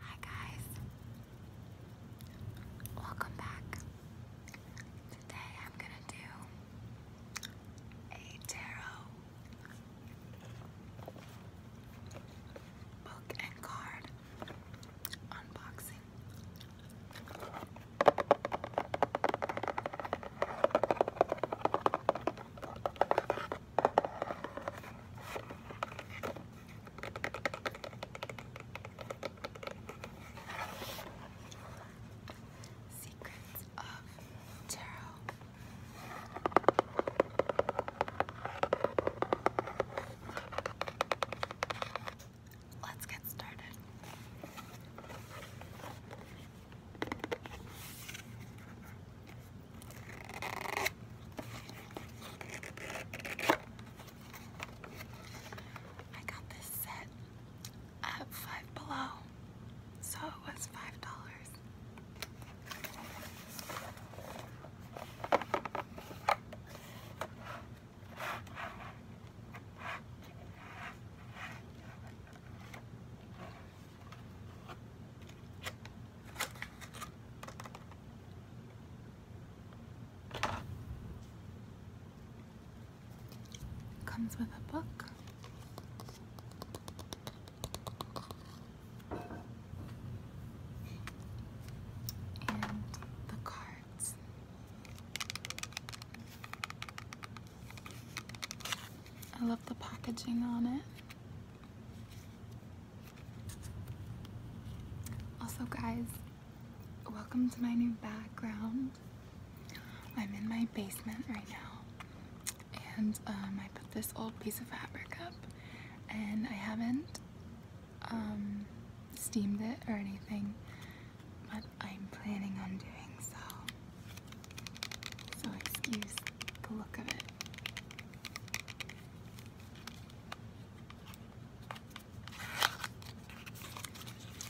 Hi guys, welcome back. Today I'm gonna do a tarot book and card unboxing. Secrets of Tarot. Let's get started. I got this set at Five Below, so it was five dollars. Comes with a book and the cards. I love the packaging on it. Also, guys, welcome to my new background. I'm in my basement right now, and um, I put this old piece of fabric up, and I haven't um, steamed it or anything, but I'm planning on doing so. So excuse the look of it.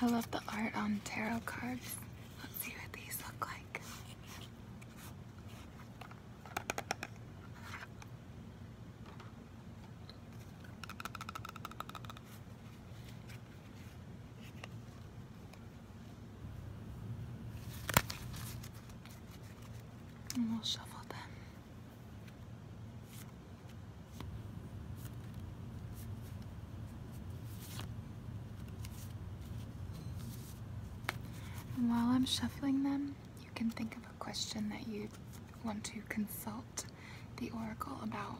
I love the art on tarot cards. Let's see what these look like. And we'll shuffle them. And while I'm shuffling them, you can think of question that you want to consult the oracle about.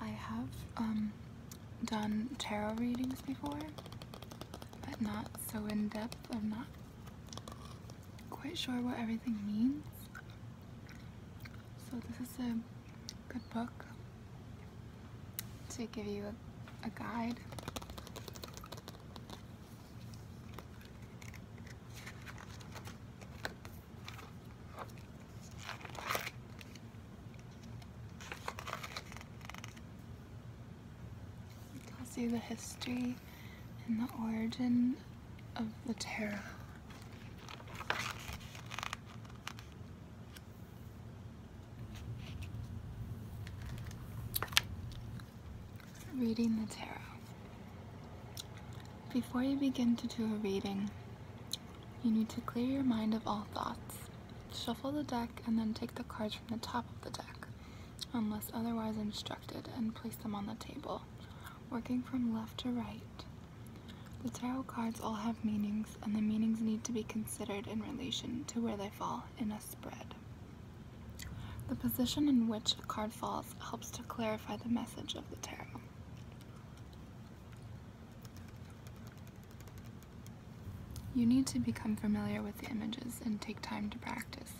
I have um, done tarot readings before, but not so in depth. I'm not quite sure what everything means. So this is a good book to give you a, a guide Tells you the history and the origin of the tarot. Reading the Tarot. Before you begin to do a reading, you need to clear your mind of all thoughts. Shuffle the deck and then take the cards from the top of the deck, unless otherwise instructed, and place them on the table, working from left to right. The tarot cards all have meanings, and the meanings need to be considered in relation to where they fall in a spread. The position in which the card falls helps to clarify the message of the tarot. You need to become familiar with the images and take time to practice.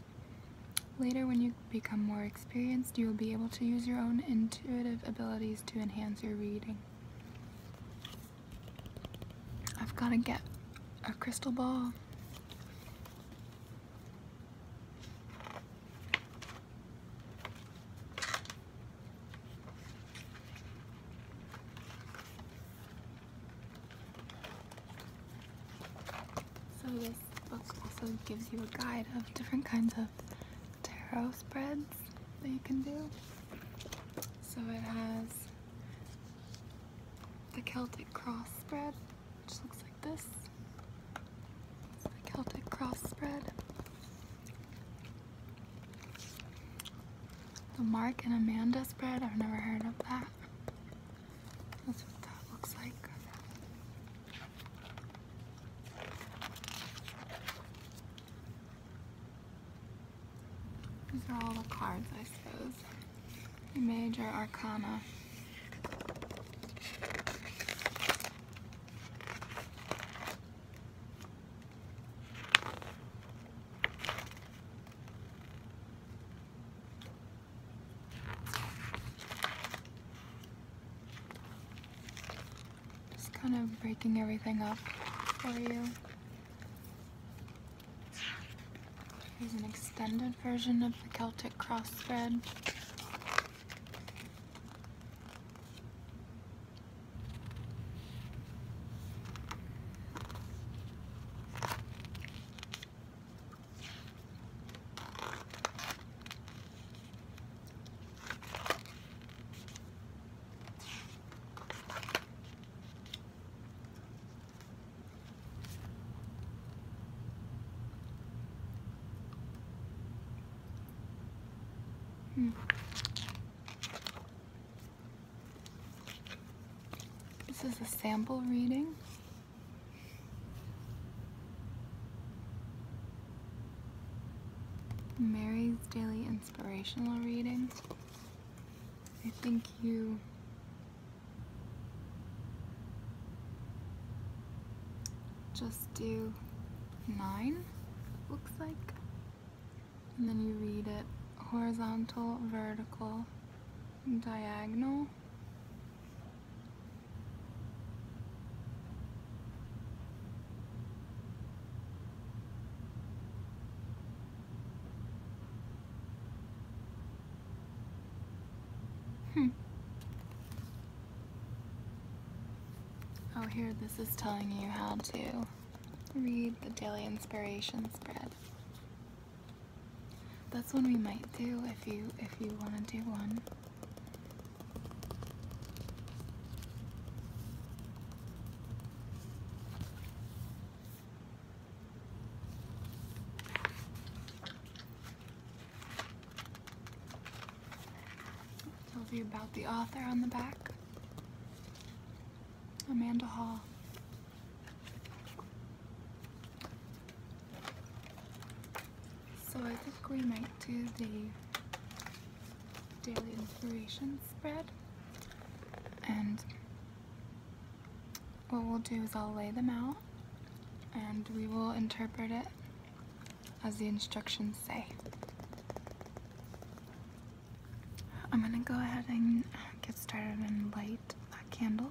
Later, when you become more experienced, you will be able to use your own intuitive abilities to enhance your reading. I've got to get a crystal ball. So this book also gives you a guide of different kinds of tarot spreads that you can do. So it has the Celtic cross spread which looks like this. the Celtic cross spread. The Mark and Amanda spread, I've never heard of that. That's what that looks like. These are all the cards, I suppose. Major Arcana. Just kind of breaking everything up for you. Here's an extended version of the Celtic cross thread. Hmm. This is a sample reading. Mary's Daily Inspirational Reading. I think you just do nine, looks like. And then you read it horizontal, vertical, diagonal. Hmm. Oh, here, this is telling you how to read the Daily Inspiration spread. That's one we might do if you if you want to do one. Tells you about the author on the back. Amanda Hall. So I think we might do the daily inspiration spread. And what we'll do is I'll lay them out and we will interpret it as the instructions say. I'm gonna go ahead and get started and light that candle.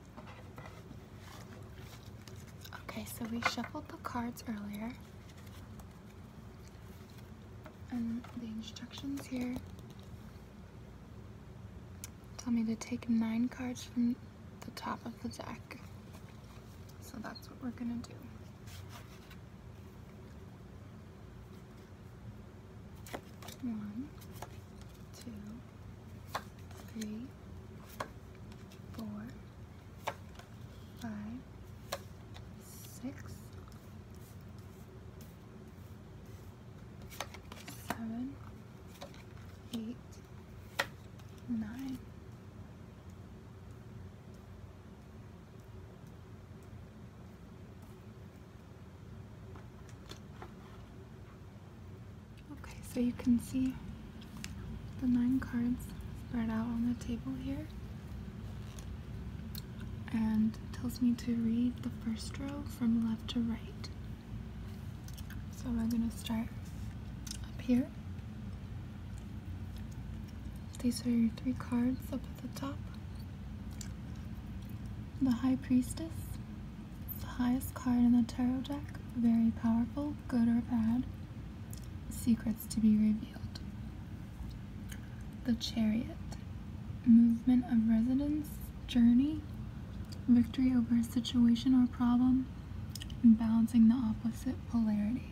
Okay, so we shuffled the cards earlier. And the instructions here tell me to take nine cards from the top of the deck. So that's what we're gonna do. One, two, three, four, five, six, seven, eight, nine. Okay, so you can see the nine cards spread out on the table here. And tells me to read the first row from left to right. So we're going to start up here. These are your three cards up at the top. The High Priestess, it's the highest card in the tarot deck. Very powerful, good or bad. Secrets to be revealed. The Chariot. Movement of residence, journey, victory over a situation or problem, and balancing the opposite polarities.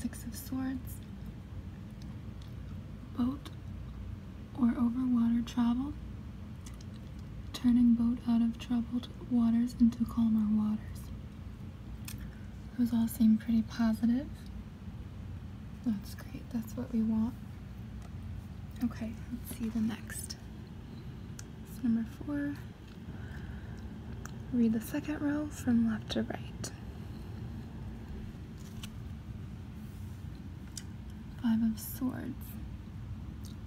Six of Swords, Boat, or over water travel, turning boat out of troubled waters into calmer waters. Those all seem pretty positive. That's great, that's what we want. Okay, let's see the next. It's number four. Read the second row from left to right. Five of Swords.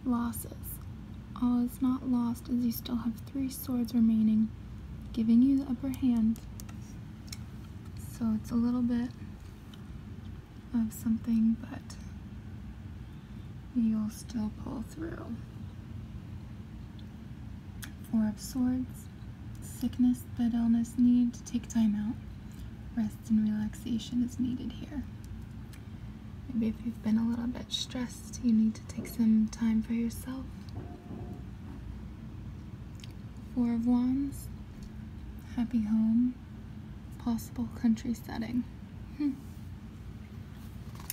Losses. All is not lost as you still have three swords remaining, giving you the upper hand. So it's a little bit of something, but you'll still pull through. Four of Swords. Sickness, bad illness, need to take time out. Rest and relaxation is needed here. Maybe if you've been a little bit stressed, you need to take some time for yourself. Four of Wands, happy home, possible country setting. Hmm.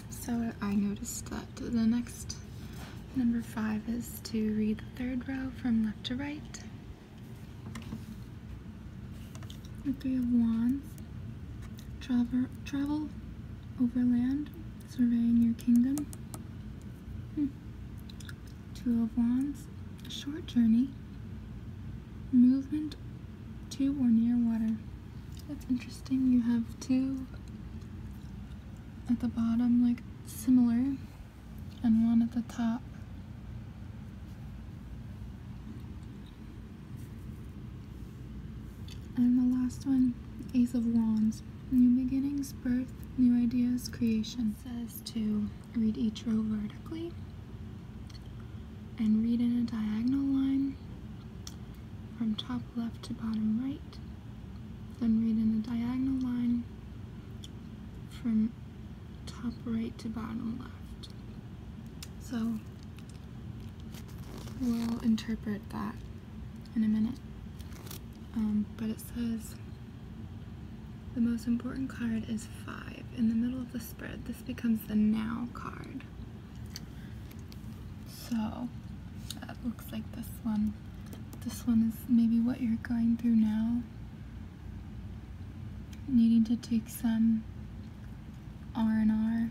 So I noticed that the next number five is to read the third row from left to right. The Three of Wands. Travel, travel overland, surveying your kingdom. Hmm. Two of Wands. short journey. Movement Two or near water. That's interesting. You have two at the bottom, like similar, and one at the top. And the last one, Ace of Wands. New beginnings, birth, new ideas, creation. says to read each row vertically and read in a diagonal line from top left to bottom right. Then read in a diagonal line from top right to bottom left. So we'll interpret that in a minute. Um, but it says the most important card is five in the middle of the spread. This becomes the now card. So that looks like this one. This one is maybe what you're going through now needing to take some R&R,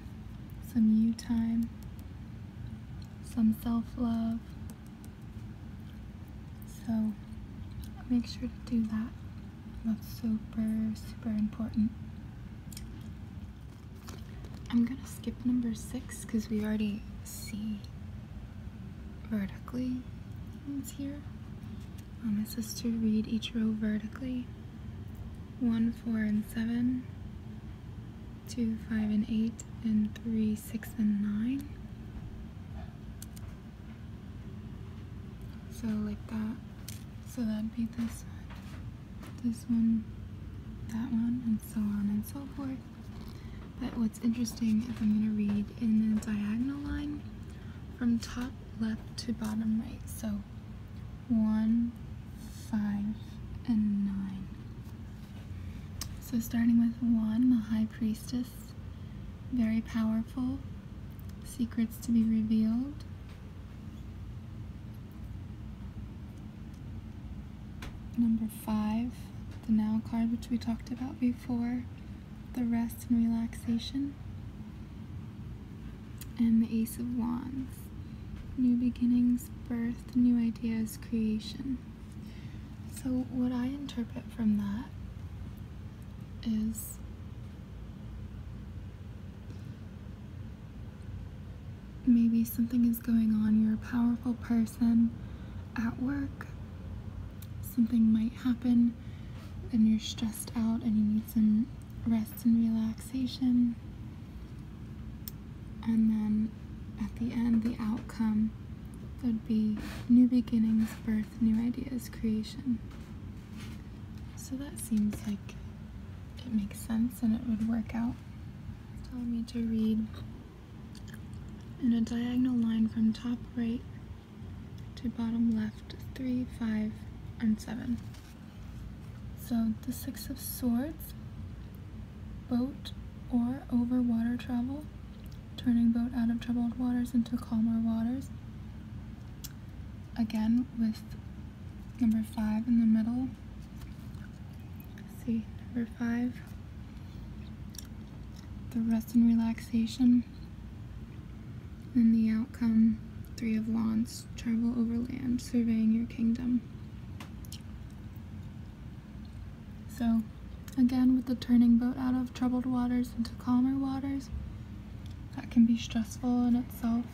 some U time, some self-love. So make sure to do that. That's super, super important. I'm gonna skip number six because we already see vertically things here. Um, it says to read each row vertically. 1, 4, and seven, two five and 8, and 3, 6, and 9. So, like that. So, that'd be this one, this one, that one, and so on and so forth. But what's interesting is I'm going to read in the diagonal line from top left to bottom right. So so one, five, and nine. So starting with one, the High Priestess, very powerful, secrets to be revealed. Number five, the Now card, which we talked about before, the rest and relaxation and the Ace of Wands. New beginnings, birth, new ideas, creation. So, what I interpret from that is maybe something is going on. You're a powerful person at work, something might happen, and you're stressed out and you need some rest and relaxation. And then at the end, the outcome would be new beginnings, birth, new ideas, creation. So that seems like it makes sense and it would work out. Tell me to read in a diagonal line from top right to bottom left, 3, 5, and 7. So the Six of Swords, boat or over water travel, turning boat out of troubled waters into calmer waters. Again with number five in the middle. see, number five, the rest and relaxation and the outcome three of wands travel overland surveying your kingdom so again with the turning boat out of troubled waters into calmer waters that can be stressful in itself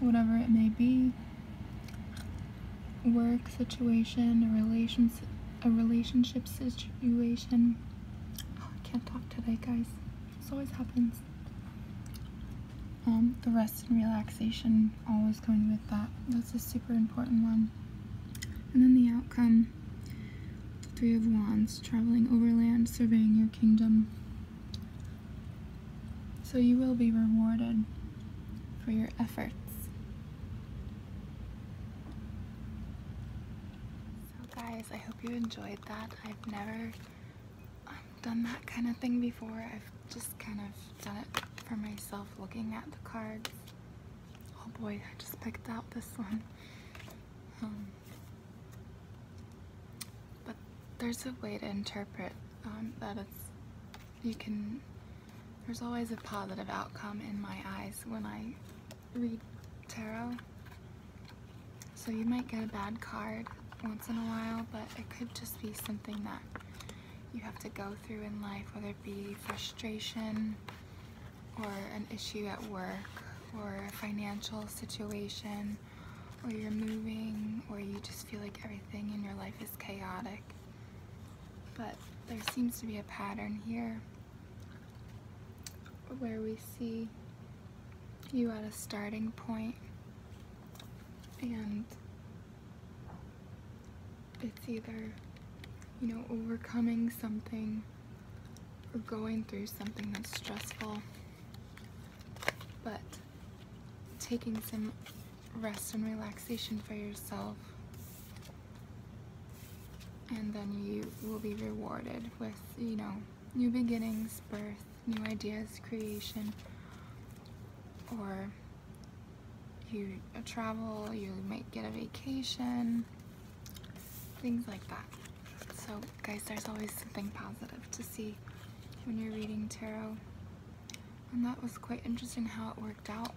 whatever it may be work situation a relationship a relationship situation oh, i can't talk today guys this always happens um, the rest and relaxation always come with that. That's a super important one. And then the outcome, the Three of Wands, traveling overland, surveying your kingdom. So you will be rewarded for your efforts. So guys, I hope you enjoyed that. I've never I've done that kind of thing before. I've just kind of done it for myself looking at the cards. Oh boy, I just picked out this one. Um, but there's a way to interpret um, that it's, you can, there's always a positive outcome in my eyes when I read tarot. So you might get a bad card once in a while, but it could just be something that you have to go through in life, whether it be frustration or an issue at work or a financial situation or you're moving or you just feel like everything in your life is chaotic. But there seems to be a pattern here where we see you at a starting point and it's either you know overcoming something or going through something that's stressful but taking some rest and relaxation for yourself and then you will be rewarded with you know new beginnings, birth, new ideas, creation, or you travel, you might get a vacation, things like that. So guys, there's always something positive to see when you're reading tarot. And that was quite interesting how it worked out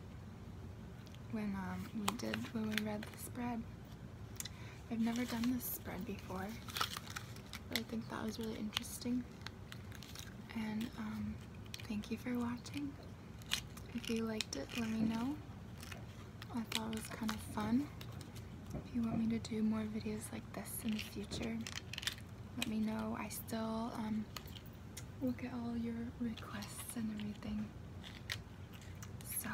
when um, we did, when we read the spread. I've never done this spread before. I think that was really interesting. And um, thank you for watching. If you liked it, let me know. I thought it was kind of fun. If you want me to do more videos like this in the future, let me know. I still um, look at all your requests and everything. So.